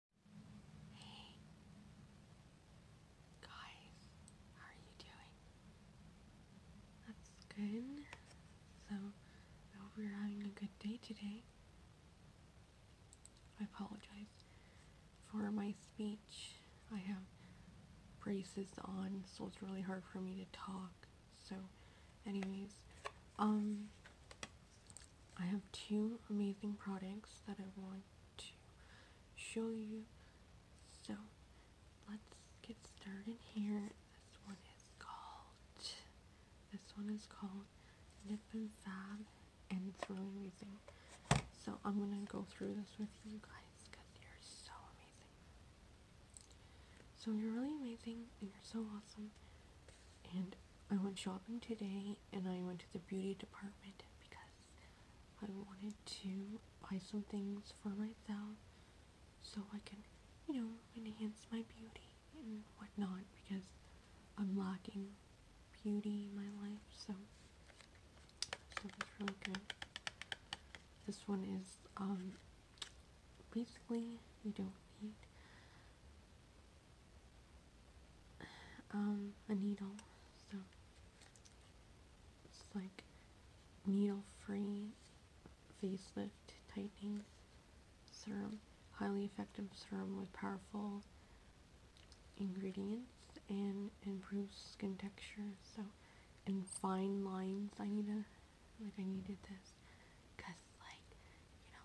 Hey, guys, how are you doing? That's good. So, I hope you're having a good day today. I apologize for my speech. I have braces on, so it's really hard for me to talk. So, anyways, um, I have two amazing products that I want to show you. So let's get started here. This one is called this one is called Nip and Fab and it's really amazing. So I'm gonna go through this with you guys because you're so amazing. So you're really amazing and you're so awesome and I went shopping today and I went to the beauty department because I wanted to buy some things for myself so I can, you know, enhance my beauty and whatnot because I'm lacking beauty in my life so so that's really good. This one is um basically you don't need um, a needle, so it's like needle-free facelift tightening serum, highly effective serum with powerful ingredients and improves skin texture. So, in fine lines. I need a like I needed this because like you know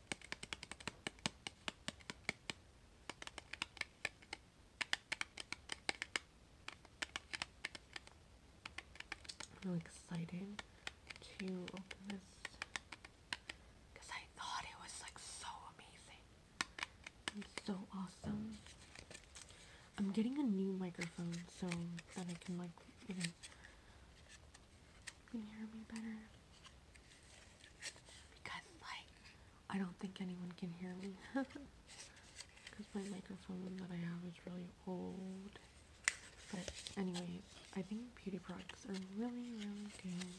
I'm really excited to open this because I thought it was like so amazing so awesome. I'm getting a new microphone so that I can like you know you can hear me better because like I don't think anyone can hear me because my microphone that I have is really old. But anyway, I think beauty products are really really good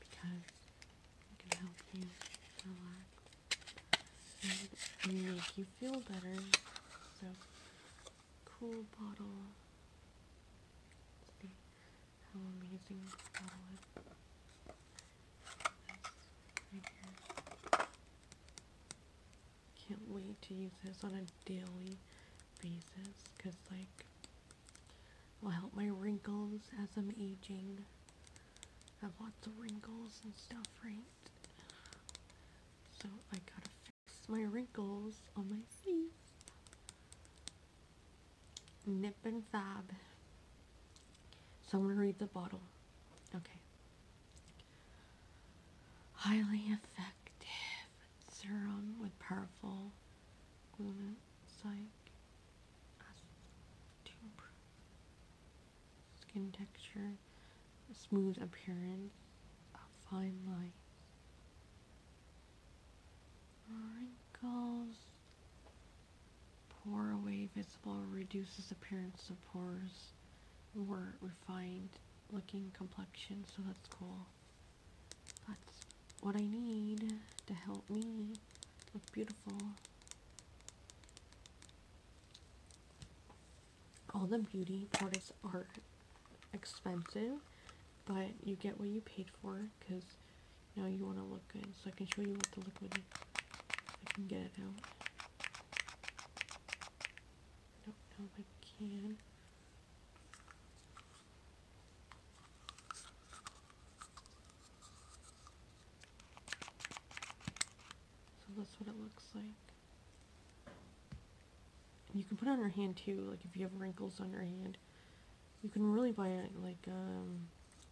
because they can help you relax and make you feel better. So cool bottle how amazing this bottle is. Can't wait to use this on a daily basis because, like, will help my wrinkles as I'm aging. I have lots of wrinkles and stuff, right? So I gotta fix my wrinkles on my face. Nip and Fab. So I'm going to read the bottle. Okay. Highly effective serum with powerful glutathione acid skin texture, smooth appearance, fine lines, Wrinkles. Pore away visible reduces appearance of pores more refined looking complexion, so that's cool. That's what I need to help me look beautiful. All the beauty products are expensive, but you get what you paid for because now you want to look good. So I can show you what the liquid is. I can get it out. I do I can. So that's what it looks like. you can put it on your hand too, like if you have wrinkles on your hand you can really buy like um,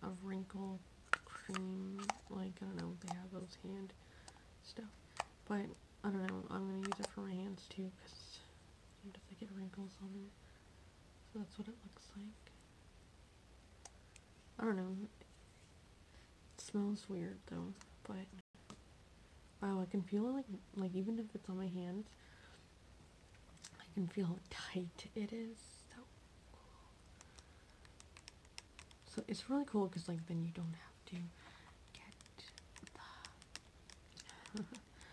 a wrinkle cream, like I don't know, they have those hand stuff. But I don't know, I'm gonna use it for my hands too because I get wrinkles on them. So that's what it looks like. I don't know. It smells weird though, but wow, I can feel it like like even if it's on my hands, I can feel how tight it is. So it's really cool because like then you don't have to get the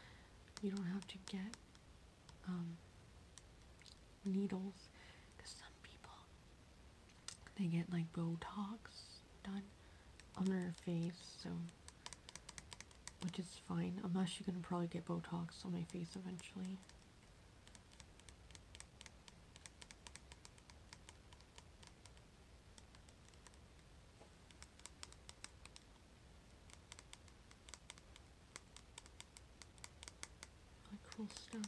you don't have to get um needles because some people they get like Botox done on their face so which is fine. I'm actually gonna probably get Botox on my face eventually. Like cool stuff.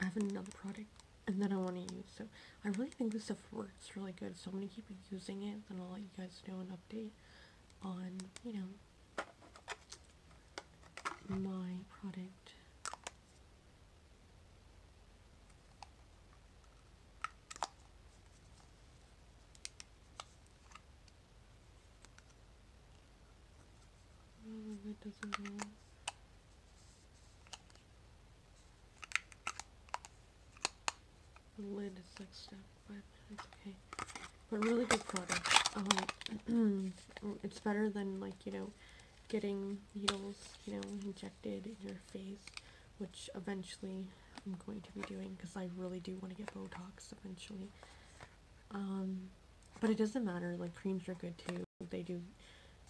I have another product and then I want to use so I really think this stuff works really good so I'm gonna keep using it then I'll let you guys know an update on, you know, my product. Oh, that doesn't go lid is like stacked but it's okay but really good product um, it's better than like you know getting needles you know injected in your face which eventually I'm going to be doing because I really do want to get Botox eventually um, but it doesn't matter like creams are good too they do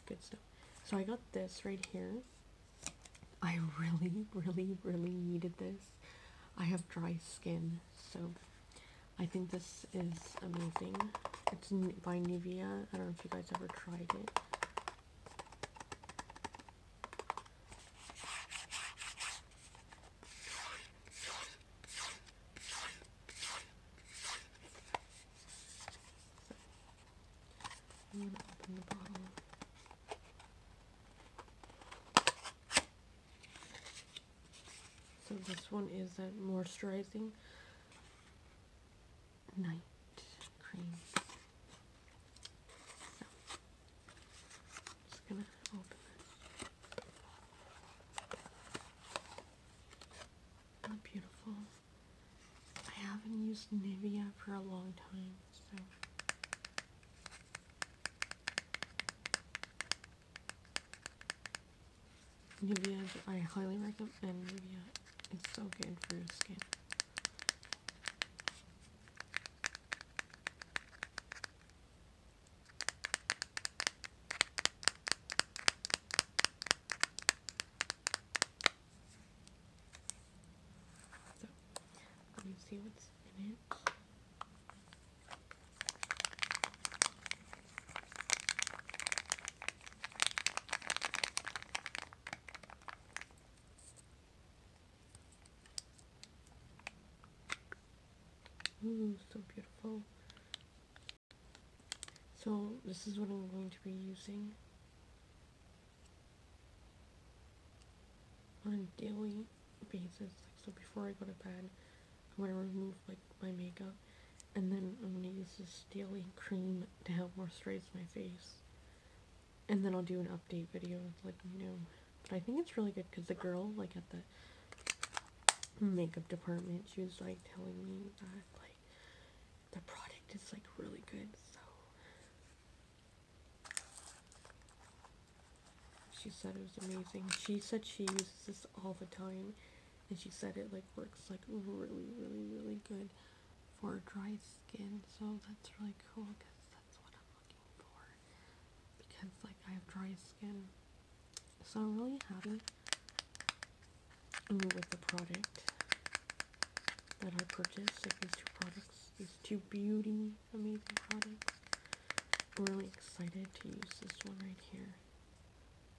good stuff so I got this right here I really really really needed this I have dry skin, so I think this is amazing. It's by Nevia. I don't know if you guys ever tried it. So this one is a moisturizing night cream. So, just gonna open it. Really beautiful. I haven't used Nivea for a long time, so Nivea, I highly recommend Nivea. It's so good for your skin. let me see what's in it. Ooh, so beautiful. So this is what I'm going to be using on a daily basis. so before I go to bed, I'm gonna remove like my makeup, and then I'm gonna use this daily cream to help moisturize my face. And then I'll do an update video, like new. But I think it's really good because the girl, like at the makeup department, she was like telling me that like the product is like really good. So she said it was amazing. She said she uses this all the time and she said it like works like really really really good for dry skin so that's really cool because that's what I'm looking for because like I have dry skin so I'm really happy with the product that I purchased these two products these two beauty amazing products. I'm really excited to use this one right here.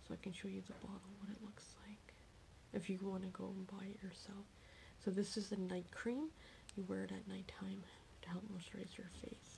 So I can show you the bottle, what it looks like. If you want to go and buy it yourself. So this is the night cream. You wear it at nighttime to help moisturize your face.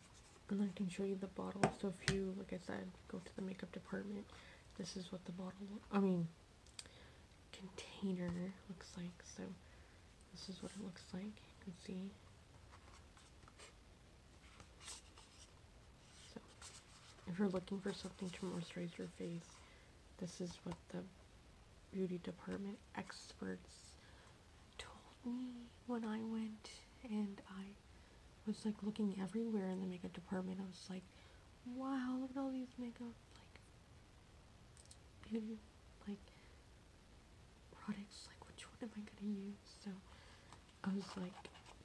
and I can show you the bottle. So if you, like I said, go to the makeup department, this is what the bottle, I mean, container looks like. So this is what it looks like. You can see. So if you're looking for something to moisturize your face, this is what the beauty department experts told me when I went and I I was like looking everywhere in the makeup department. I was like, wow, look at all these makeup like beauty like products. Like, which one am I gonna use? So I was like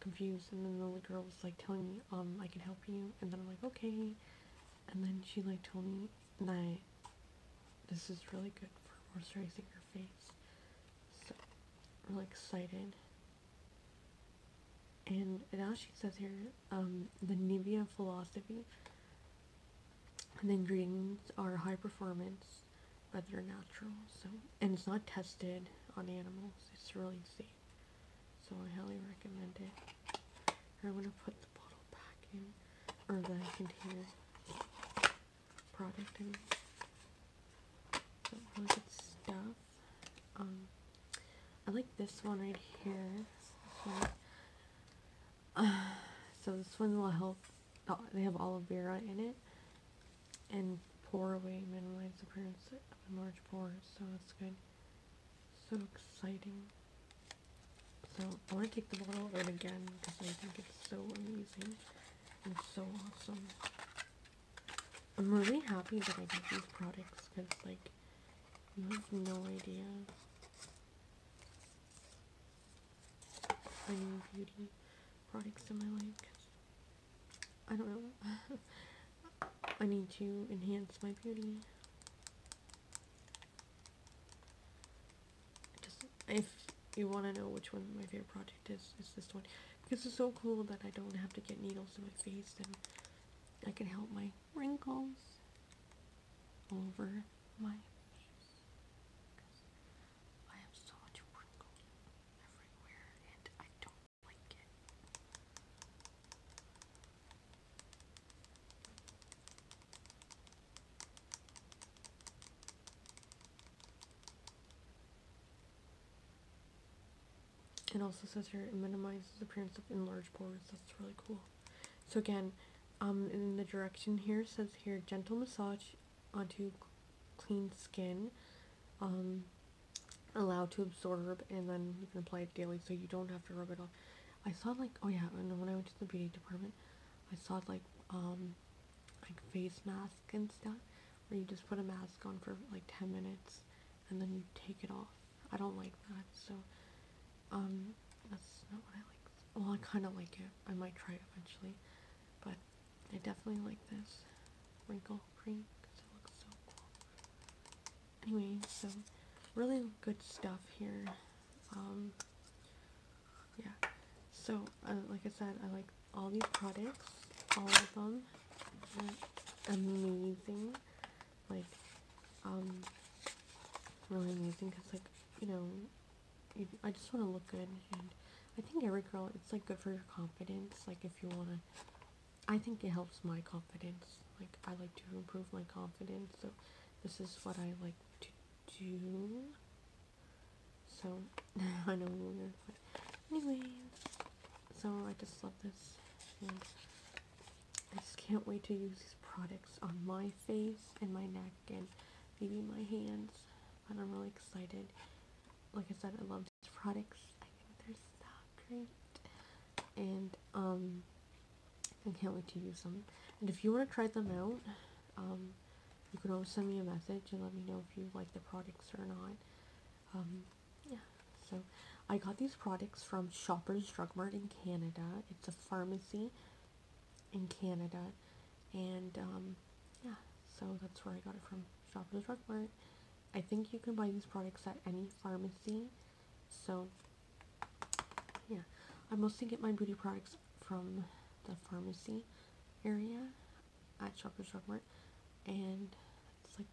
confused, and then the girl was like telling me, um, I can help you, and then I'm like, okay, and then she like told me, and this is really good for moisturizing your face. So, really excited and now she says here, um, the Nivea philosophy. And the ingredients are high performance, but they're natural. So and it's not tested on animals. It's really safe. So I highly recommend it. I'm gonna put the bottle back in, or the container product in good stuff. Um, I like this one right here. so this one will help. Oh, they have aloe vera in it, and pore away minimize appearance of enlarged pores. So that's good. So exciting. So I want to take the bottle out again because I think it's so amazing and so awesome. I'm really happy that I did these products because, like, you have no idea. I need beauty products in my life I don't know. I need to enhance my beauty. Just if you want to know which one my favorite product is, is this one because it's so cool that I don't have to get needles in my face and I can help my wrinkles over my face. I have so much wrinkles everywhere and I don't like it. It also says here it minimizes appearance of enlarged pores. That's really cool. So again, um, in the direction here says here gentle massage onto clean skin. Um, allow to absorb and then you can apply it daily so you don't have to rub it off. I saw like oh yeah, and when I went to the beauty department, I saw like um like face masks and stuff where you just put a mask on for like 10 minutes and then you take it off. I don't like that, so um, that's not what I like. Well, I kind of like it. I might try it eventually, but I definitely like this wrinkle cream because it looks so cool. Anyway, so really good stuff here. Um, yeah. So, uh, like I said, I like all these products, all of them amazing. Like, um, really amazing because, like, you know, I just want to look good. And I think every girl, it's like good for your confidence. Like, if you want to, I think it helps my confidence. Like, I like to improve my confidence. So, this is what I like to do. So, I know we were gonna quit. Anyways, so I just love this. I just can't wait to use these products on my face and my neck and maybe my hands. But I'm really excited. Like I said, I love these products. I think they're so great. And um, I can't wait to use them. And if you want to try them out, um, you can always send me a message and let me know if you like the products or not. Um, yeah, so I got these products from Shoppers Drug Mart in Canada. It's a pharmacy in Canada, and um, yeah, so that's where I got it from Shoppers Drug Mart. I think you can buy these products at any pharmacy, so yeah, I mostly get my beauty products from the pharmacy area at Shoppers Drug Mart. And that's like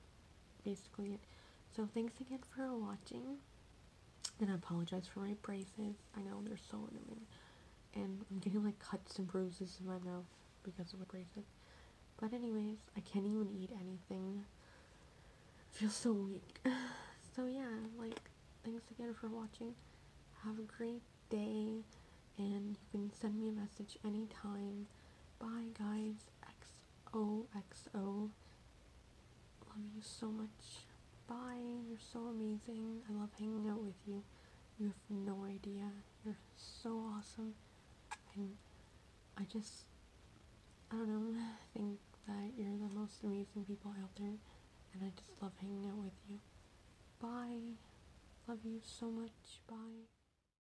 basically it. So thanks again for watching. And I apologize for my braces. I know they're so annoying. And I'm getting like cuts and bruises in my mouth because of the braces. But anyways, I can't even eat anything. I feel so weak. so yeah, like, thanks again for watching. Have a great day. And you can send me a message anytime. Bye, guys. Friends XOXO. Love you so much. Bye. You're so amazing. I love hanging out with you. You have no idea. You're so awesome. And I just, I don't know, I think that you're the most amazing people out there. And I just love hanging out with you. Bye. Love you so much. Bye.